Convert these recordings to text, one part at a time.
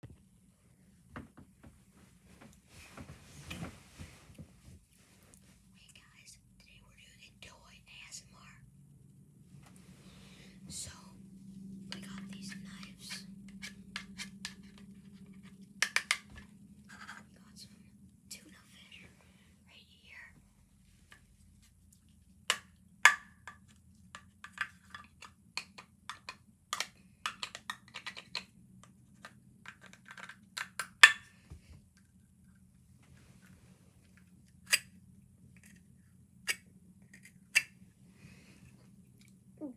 Hey guys, today we're doing a toy ASMR. So, we got these knives. We got some tuna fish right here. We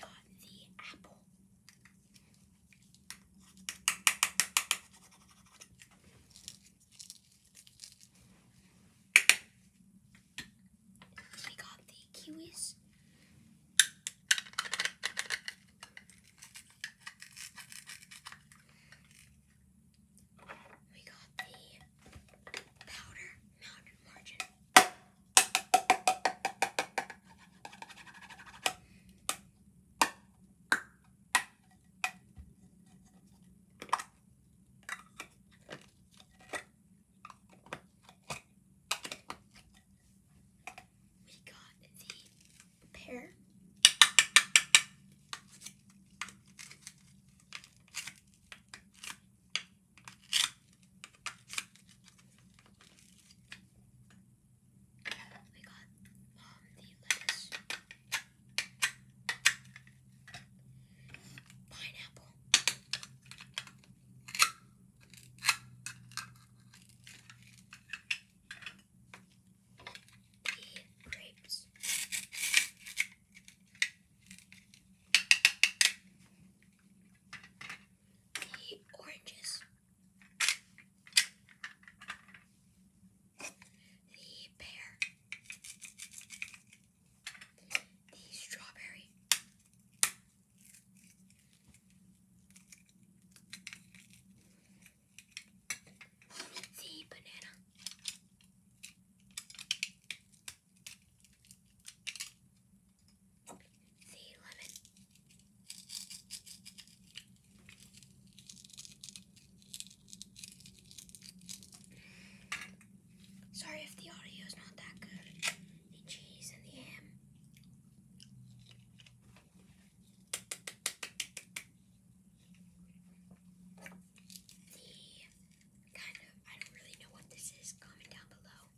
got the apple. We got the kiwis. We got the powder mountain margin. We got the pear we got the lettuce, pineapple, the grapes. The oranges, the pear, the strawberry, the banana the lemon. Sorry if the audio is not that good. The cheese and the ham. The kind of, I don't really know what this is. Comment down below.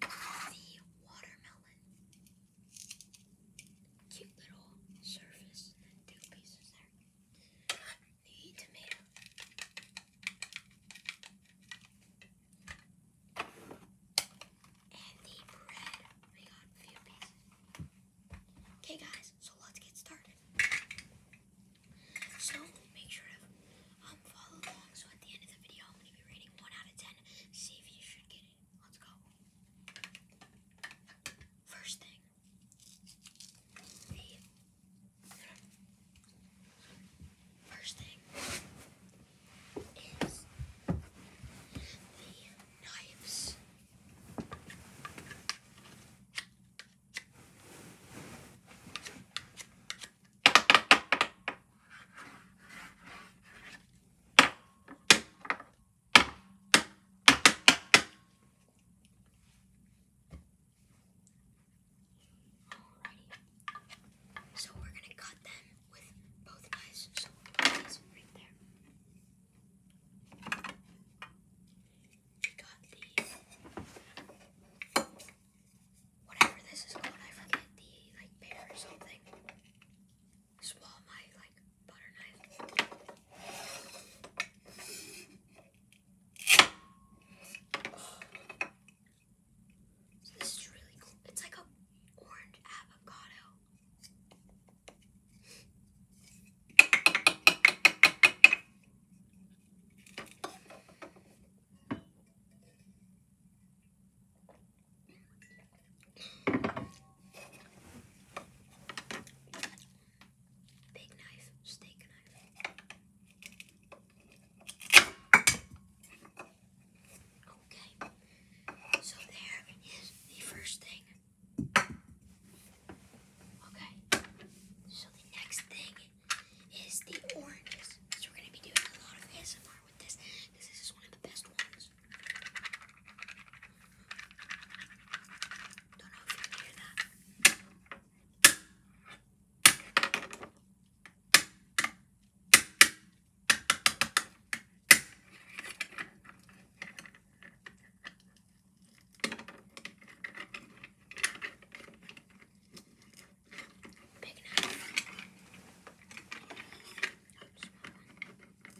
The watermelon. Cute little surface. Two pieces there. The tomato. And the bread. We got few pieces. Okay, guys, so let's get started. So make sure to um, follow along. So at the end of the video, I'm going to be rating 1 out of 10. See if you should get it. Let's go. First thing. first thing is the knives. So we're gonna cut them with both eyes. So both eyes right there. I got the whatever this is I forget the like pear or something. this is really cool. It's like a orange avocado. Big knife, steak knife. Okay, so there is the first thing Okay. So the next thing is the oranges. So we're gonna be doing a lot of ASMR with this. This is one of the best ones. Don't know if you can hear that. Big knife. Put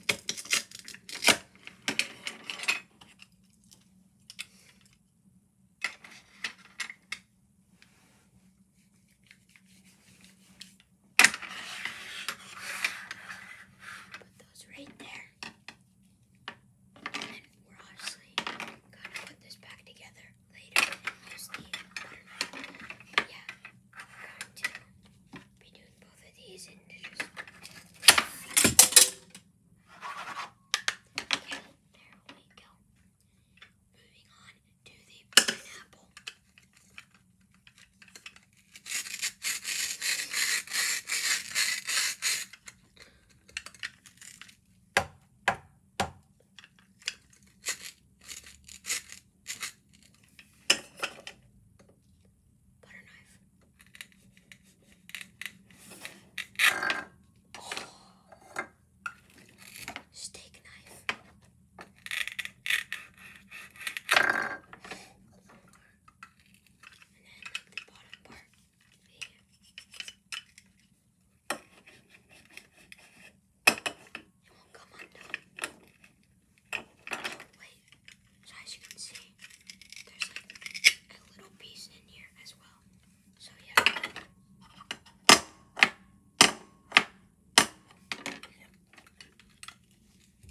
those right there. And we're obviously gonna put this back together later yeah, I'm going to be doing both of these Okay, there we go. Moving on to the pineapple. Butter knife. Oh. Steak knife and then like, the bottom part would it won't come undone. wait, as you can see, there's like a little piece in here as well. So yeah.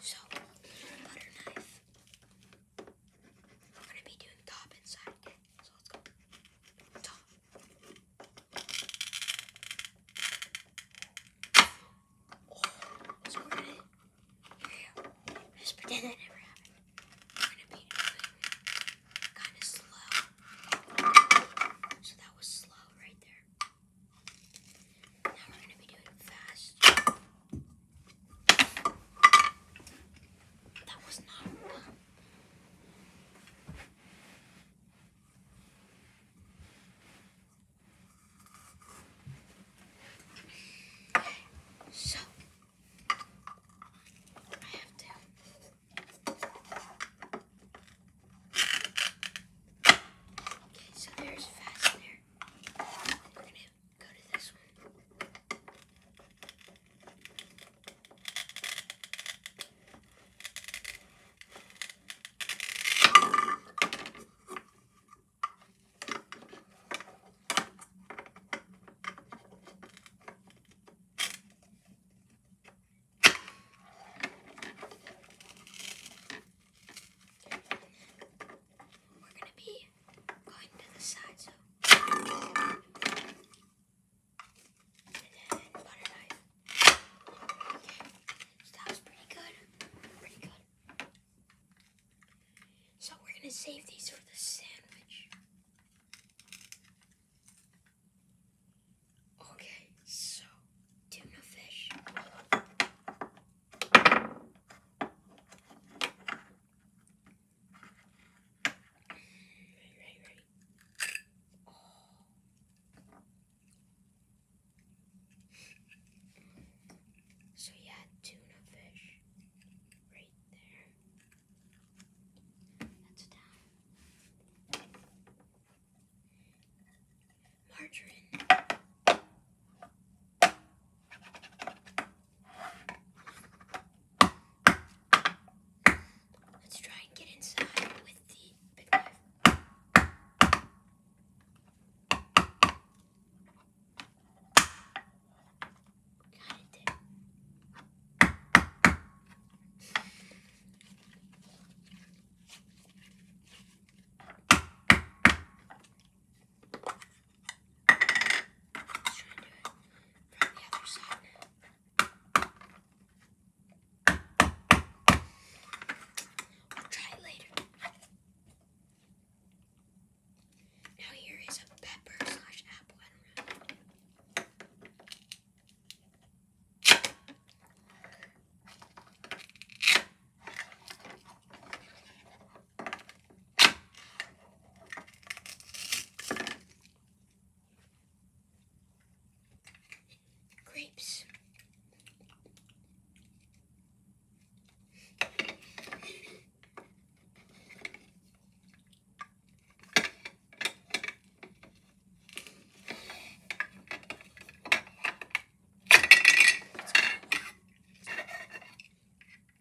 So, butter knife. We're gonna be doing top and So let's go. Top. Oh, so we're gonna yeah, just pretend that never happened going to be kind of slow. So that was slow right there. Now we're going to be doing fast. That was not fun. So, I have to. Okay, so there's fastener. We're gonna go to this one. We're going to be going to the side, so. And then butter knife. Okay, that was pretty good. Pretty good. So we're going to save these for the sandwich. Okay, so tuna fish. Right, right, right. So yeah, tuna fish right there. That's that. Margarine. Let's try and get inside with the big knife. Got it. Let's try and do it from the other side now. We'll try it later. Now here is a pepper slash apple and Grapes.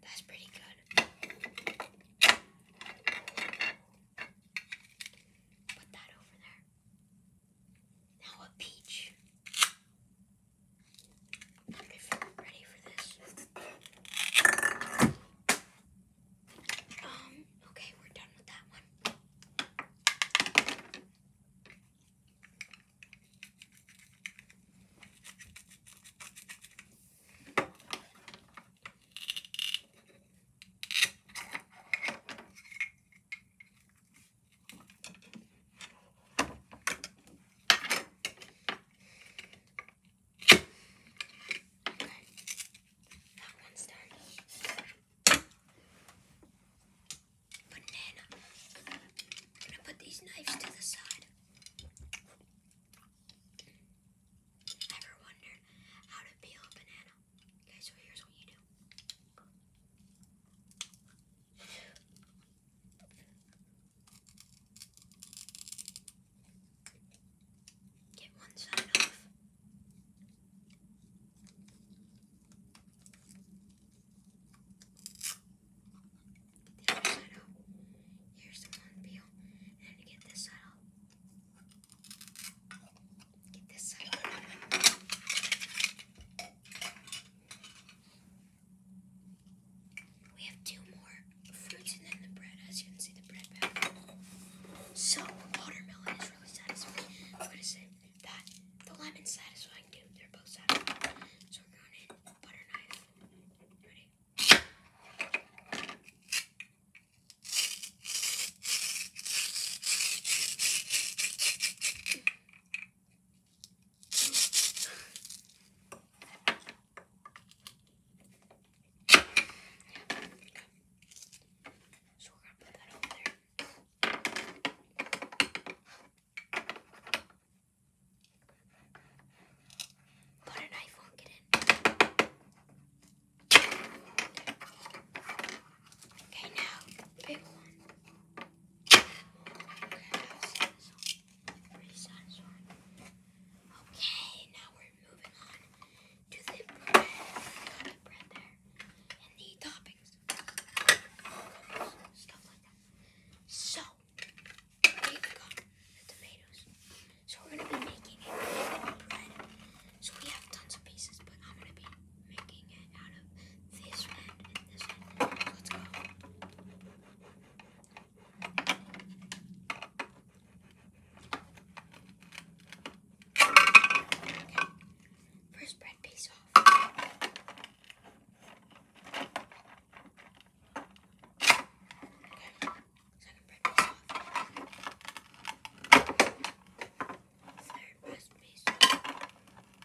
That's pretty good. Put that over there. Now a peach if you um, okay, we're done with that one. Okay. That one's done. But I'm gonna put these knives to the side. Ever wondered how to peel a banana? Okay, so here's what you do. Get one side off. Get the other side off. Here's the one peel. And to get this side off. Get this side off. We have two more fruits and then the bread. As you can see, the bread So watermelon is really satisfying. I'm gonna say that the lemon's satisfying too. They're both satisfying. So we're going in butter knife. Ready? So we're gonna put that over there. But a knife won't get in. Okay, now big one. Okay, Okay, now we're moving on to the bread. The bread there. And the toppings. Stuff like that. So, we've got the tomatoes. So we're going to be making it out of bread. So we have tons of pieces, but I'm going to be making it out of this end and this end. Let's go. First bread piece off. Okay. Second bread piece off. Third bread piece off.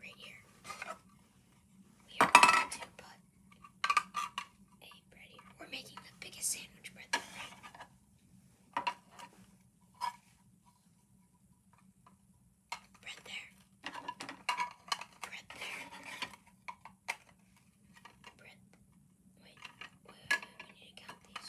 right here, we are going to put a bread We're making the biggest sandwich bread there, right? Bread there. Bread there. wait, wait, wait, we need to count these.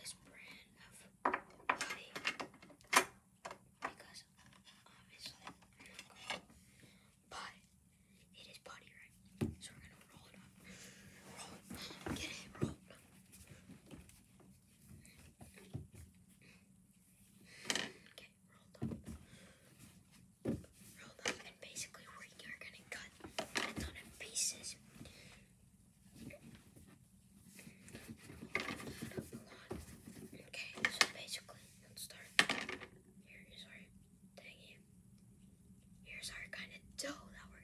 this brand of body because obviously but it is body, right? So we're gonna roll it up. Roll. Get it, rolled up. Rolled up and basically we are gonna cut a ton of pieces. Okay, so basically, let's start. Here is our thingy. Here's our kind of dough that we're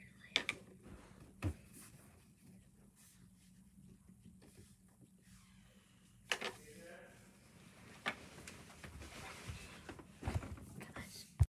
gonna lay